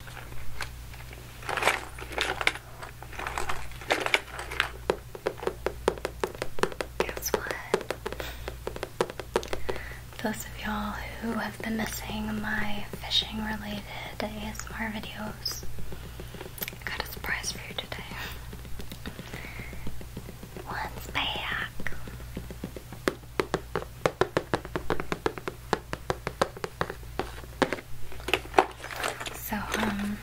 Guess what? Those of y'all who have been missing my fishing related ASMR videos, I got a surprise for you today. One's back. So, um,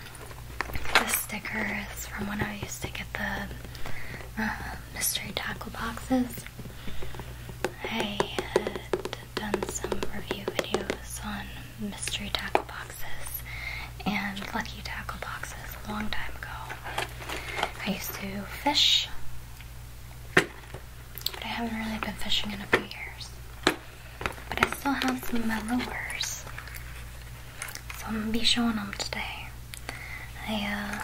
this sticker is from when I used to get the uh, mystery tackle boxes. I had done some review videos on mystery tackle boxes and lucky tackle boxes a long time ago. I used to fish but I haven't really been fishing in a few years. But I still have some of So I'm gonna be showing them today. Uh,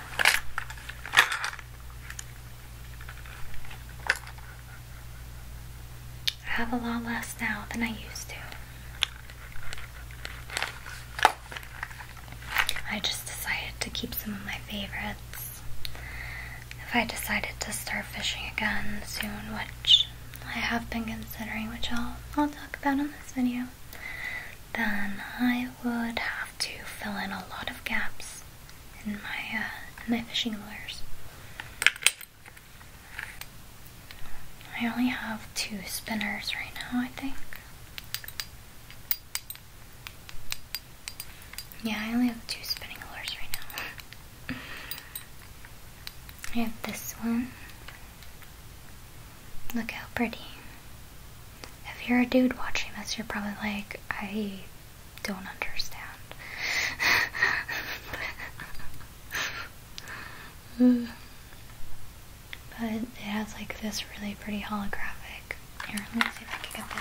I have a lot less now than I used to. I just decided to keep some of my favorites if I decided to start fishing again soon, which I have been considering, which I'll, I'll talk about in this video, then I would have to fill in a lot of gaps in my, uh, my fishing lures. I only have two spinners right now, I think. Yeah, I only have two spinning lures right now. I have this one. Look how pretty. If you're a dude watching this, you're probably like, I don't understand. but it has like this really pretty holographic. Here, let me see if I can get the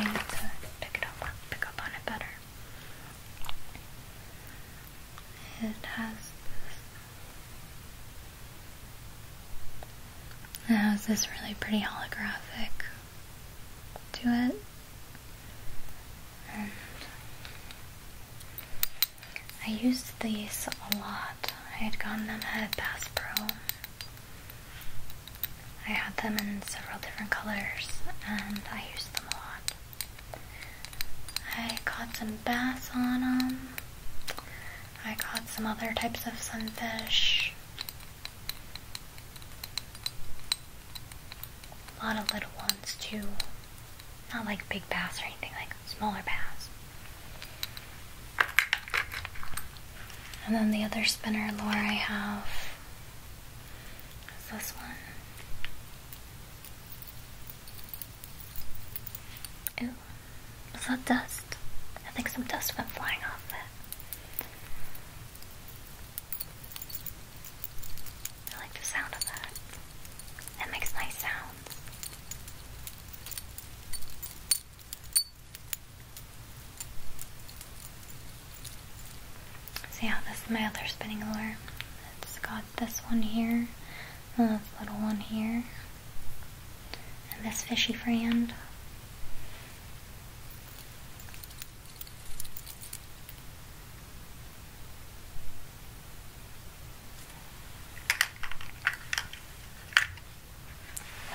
lighting to pick up, pick up on it better. It has this. It has this really pretty holographic to it. I used these a lot. I had gotten them at Bass Pro. I had them in several different colors and I used them a lot. I caught some bass on them. I caught some other types of sunfish. A lot of little ones too. Not like big bass or anything, like smaller bass. And then the other spinner lure I have is this one. Ew. Is that dust? I think some dust went flying off it. I like the sound of that. It makes nice sounds. See how this is my other spinning lure. It's got this one here, and this little one here, and this fishy friend.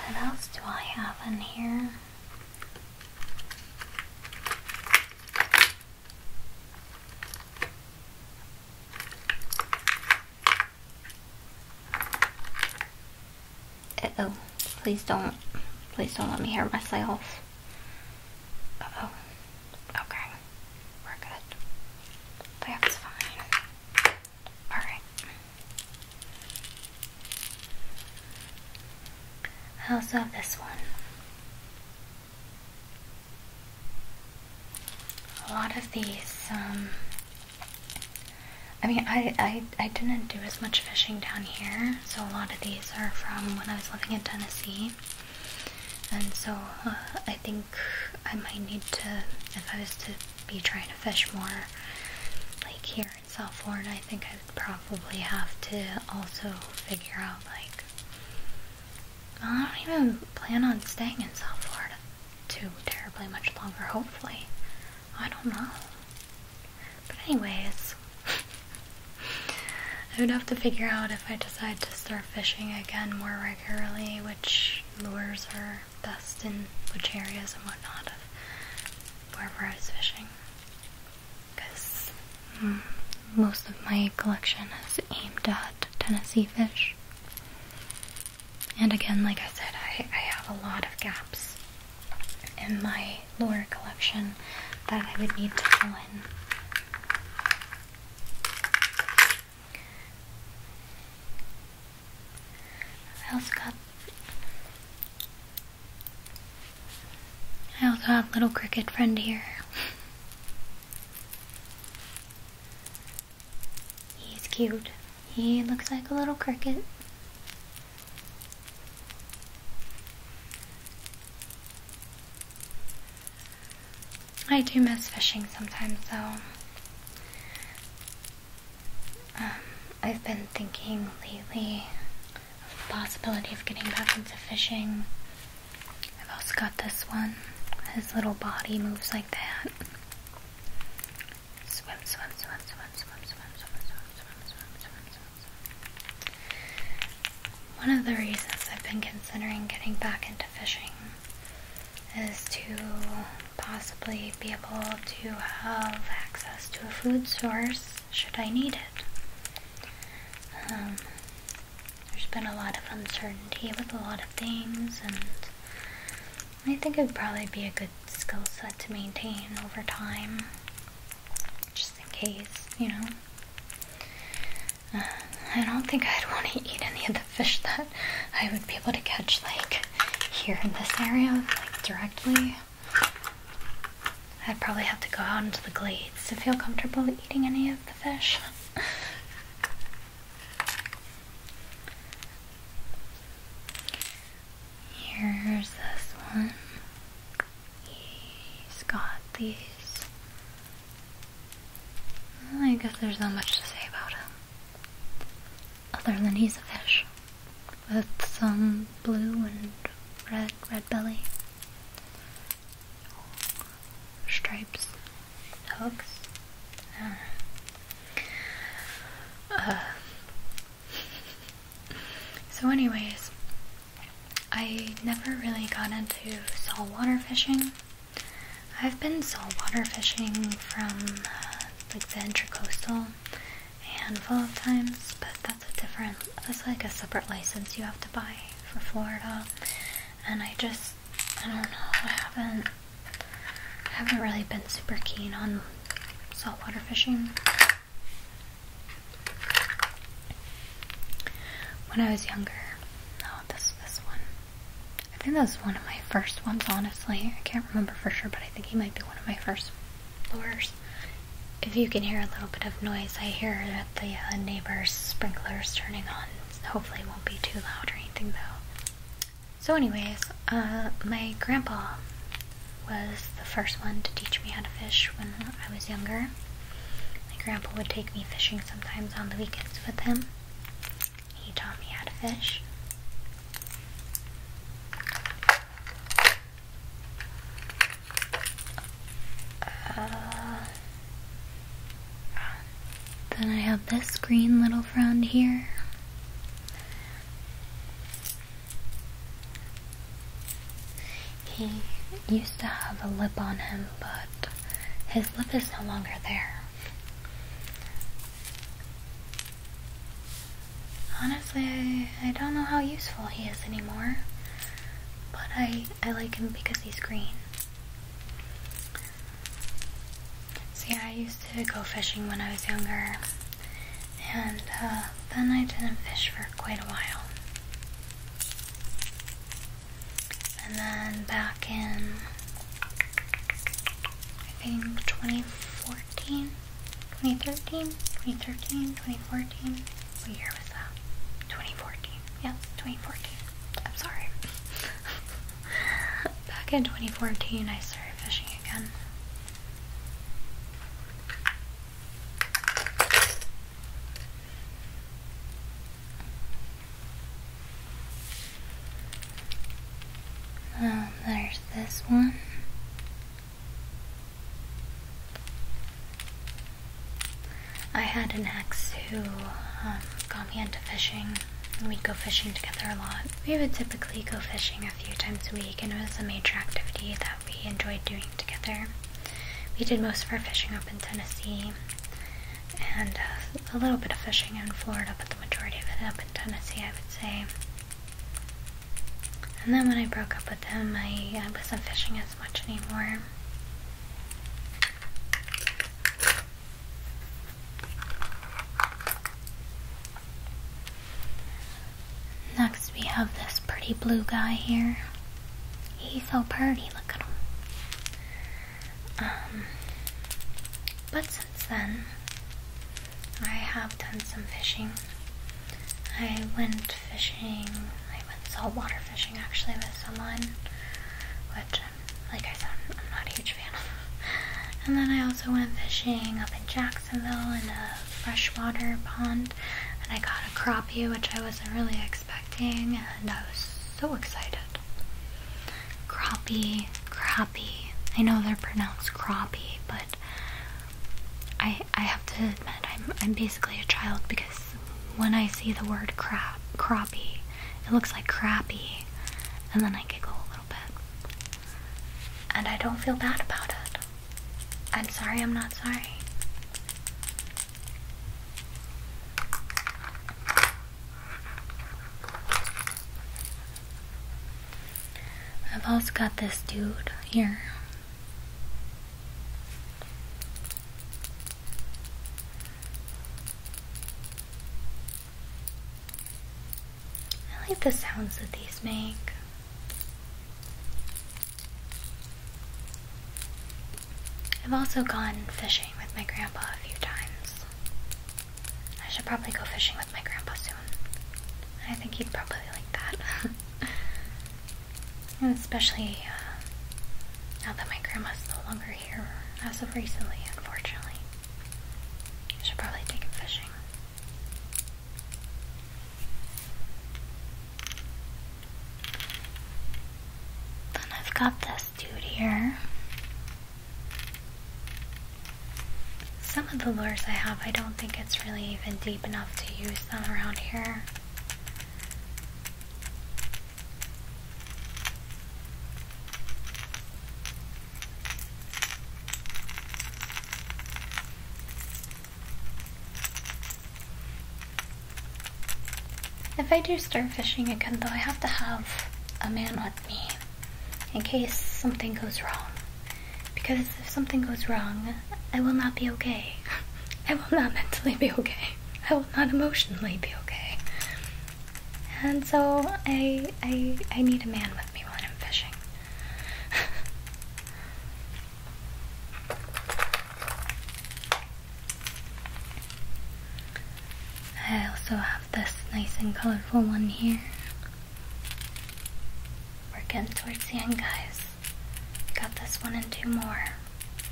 What else do I have in here? oh, please don't, please don't let me hurt myself. oh, okay, we're good. That's fine. Alright. I also have this one. A lot of these, um, I mean, I, I, I didn't do as much fishing down here, so a lot of these are from when I was living in Tennessee. And so uh, I think I might need to, if I was to be trying to fish more, like here in South Florida, I think probably have to also figure out like I don't even plan on staying in South Florida too terribly much longer, hopefully. I don't know. But anyways I would have to figure out if I decide to start fishing again more regularly, which lures are best in which areas and whatnot of wherever I was fishing because mm, most of my collection is aimed at Tennessee fish. And again, like I said, I, I have a lot of gaps in my lower collection that I would need to fill in. I also got I also have little cricket friend here. He's cute. He looks like a little cricket. I do miss fishing sometimes though. Um, I've been thinking lately the possibility of getting back into fishing. I've also got this one. His little body moves like that. Swim, swim, swim, swim, swim, swim, swim, swim, swim, swim, swim, swim. One of the reasons I've been considering getting back into fishing is to possibly be able to have access to a food source should I need it. Um, there's been a lot of uncertainty with a lot of things, and I think it would probably be a good skill set to maintain over time, just in case, you know. Uh, I don't think I'd want to eat any of the fish that I would be able to catch, like, here in this area, like, directly. I'd probably have to go out into the glades to feel comfortable eating any of the fish. Here's this one. He's got these. I guess there's not much to say about him. Other than he's a fish with some blue and red, red belly stripes hooks. Ah. Uh. so, anyways, I never really got into saltwater fishing. I've been saltwater fishing from uh, like the intracoastal a handful of times, but it's a different, It's like a separate license you have to buy for Florida. And I just, I don't know, I haven't, I haven't really been super keen on saltwater fishing. When I was younger, oh, this this one. I think that was one of my first ones, honestly. I can't remember for sure, but I think he might be one of my first lures. If you can hear a little bit of noise, I hear that the uh, neighbor's sprinklers turning on. Hopefully, it won't be too loud or anything though. So, anyways, uh, my grandpa was the first one to teach me how to fish when I was younger. My grandpa would take me fishing sometimes on the weekends with him. He taught me how to fish. Uh, then I have this green little friend here. He used to have a lip on him, but his lip is no longer there. Honestly, I don't know how useful he is anymore but I, I like him because he's green. So yeah, I used to go fishing when I was younger, and uh, then I didn't fish for quite a while. And then back in, I think 2014, 2013, 2013, 2014, what year was that? 2014. Yeah, 2014. I'm sorry. Back in 2014, I started fishing again. Um, there's this one. I had an ex who um, got me into fishing. and We'd go fishing together a lot. We would typically go fishing a few times a week, and it was a major activity that we enjoyed doing together. We did most of our fishing up in Tennessee and uh, a little bit of fishing in Florida, but the majority of it up in Tennessee, I would say. And then when I broke up with him, I, wasn't fishing much anymore. Next, we have this pretty blue guy here. He's so pretty, look at him. Um, but since then, I have done some fishing. I went fishing. I went saltwater fishing actually with someone, which, um, like I said, I'm, not a huge fan of. And then I also went fishing up in Jacksonville in a freshwater pond, and I caught a crappie, which I wasn't really expecting, and I was so excited. Crappie, crappie. I know they're pronounced crappie, but I I have to admit I'm I'm basically a child because when I see the word crap, "crappy," it looks like crappy, and then I giggle a little bit. And I don't feel bad about it. I'm sorry, I'm not sorry. I've also got this dude here. I like the sounds that these make. I've also gone fishing with my grandpa a few times. I should probably go fishing with my grandpa soon. I think he'd probably like that. And especially uh, now that my grandma's no longer here as of recently, unfortunately. I should probably take him fishing. Then I've got this dude here. Some of the lures I have, I don't think it's really even deep enough to use them around here. If I do start fishing again, though, I have to have a man with me in case something goes wrong. Because if something goes wrong, I will not be okay. I will not mentally be okay. I will not emotionally be okay. And so I I need a man with me when I'm fishing. I also have this nice and colorful one here. We're getting towards the end, guys. Got this one and two more.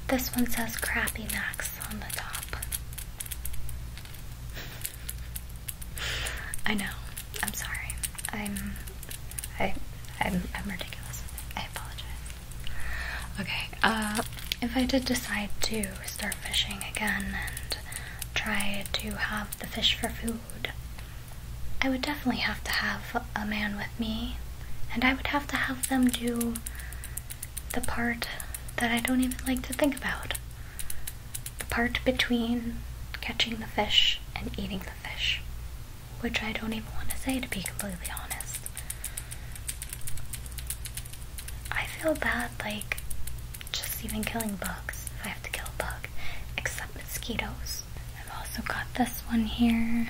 This one says Crappy Max I know. I'm sorry. I'm I I'm i am ridiculous. I apologize. Okay, uh, if I did decide to start fishing again and try to have the fish for food, I would definitely have to have a man with me, and I would have to have them do the part that I don't even like to think about. The part between catching the fish and eating the fish, which I don't even want to say to be completely honest. I feel bad like just even killing bugs if I have to kill a bug, except mosquitoes. I've also got this one here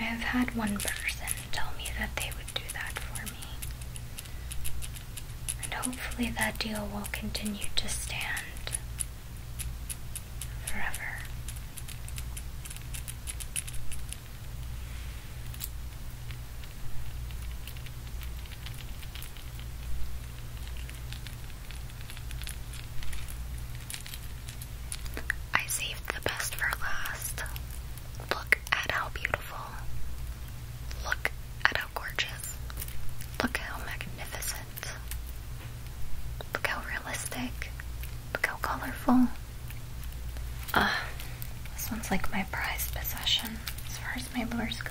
I've had one person tell me that they would do that for me. And hopefully that deal will continue to stand forever. I saved the best for last. Look at how beautiful. Look at how gorgeous. Look how magnificent. Look how realistic. Look how colorful. Ah, this one's like my prized possession as far as my lures go.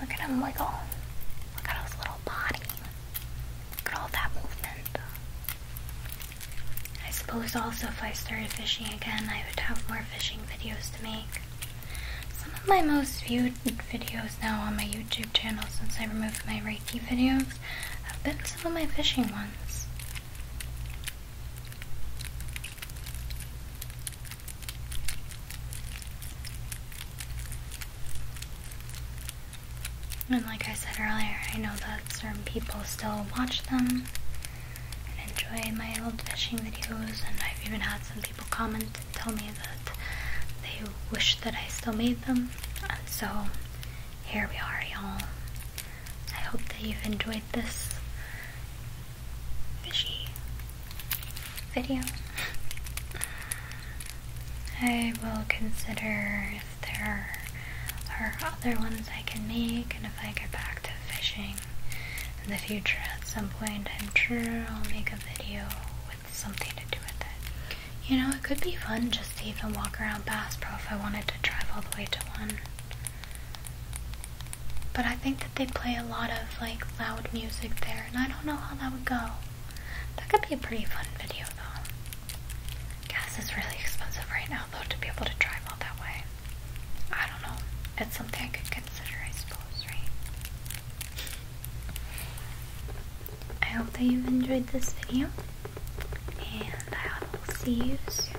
Look at him wiggle. Look at his little body. Look at all that movement. I suppose also if I started fishing again, I would have more fishing videos to make. Some of my most viewed videos now on my YouTube channel since I removed my Reiki videos have been some of my fishing ones. And like I said earlier, I know that some people still watch them and enjoy my old fishing videos, and I've even had some people comment and tell me that they wish that I still made them. And so here we are, y'all. I hope that you've enjoyed this fishy video. I will consider if there are other ones I can make, and if I get back to fishing in the future at some point, I'm sure I'll make a video with something to do with it. You know, it could be fun just to even walk around Bass Pro if I wanted to drive all the way to one. But I think that they play a lot of like loud music there, and I don't know how that would go. That could be a pretty fun video though. Gas is really expensive right now though to be able to drive all that way. I don't know. It's something I could consider, I suppose, right? I hope that you've enjoyed this video, and I will see you soon.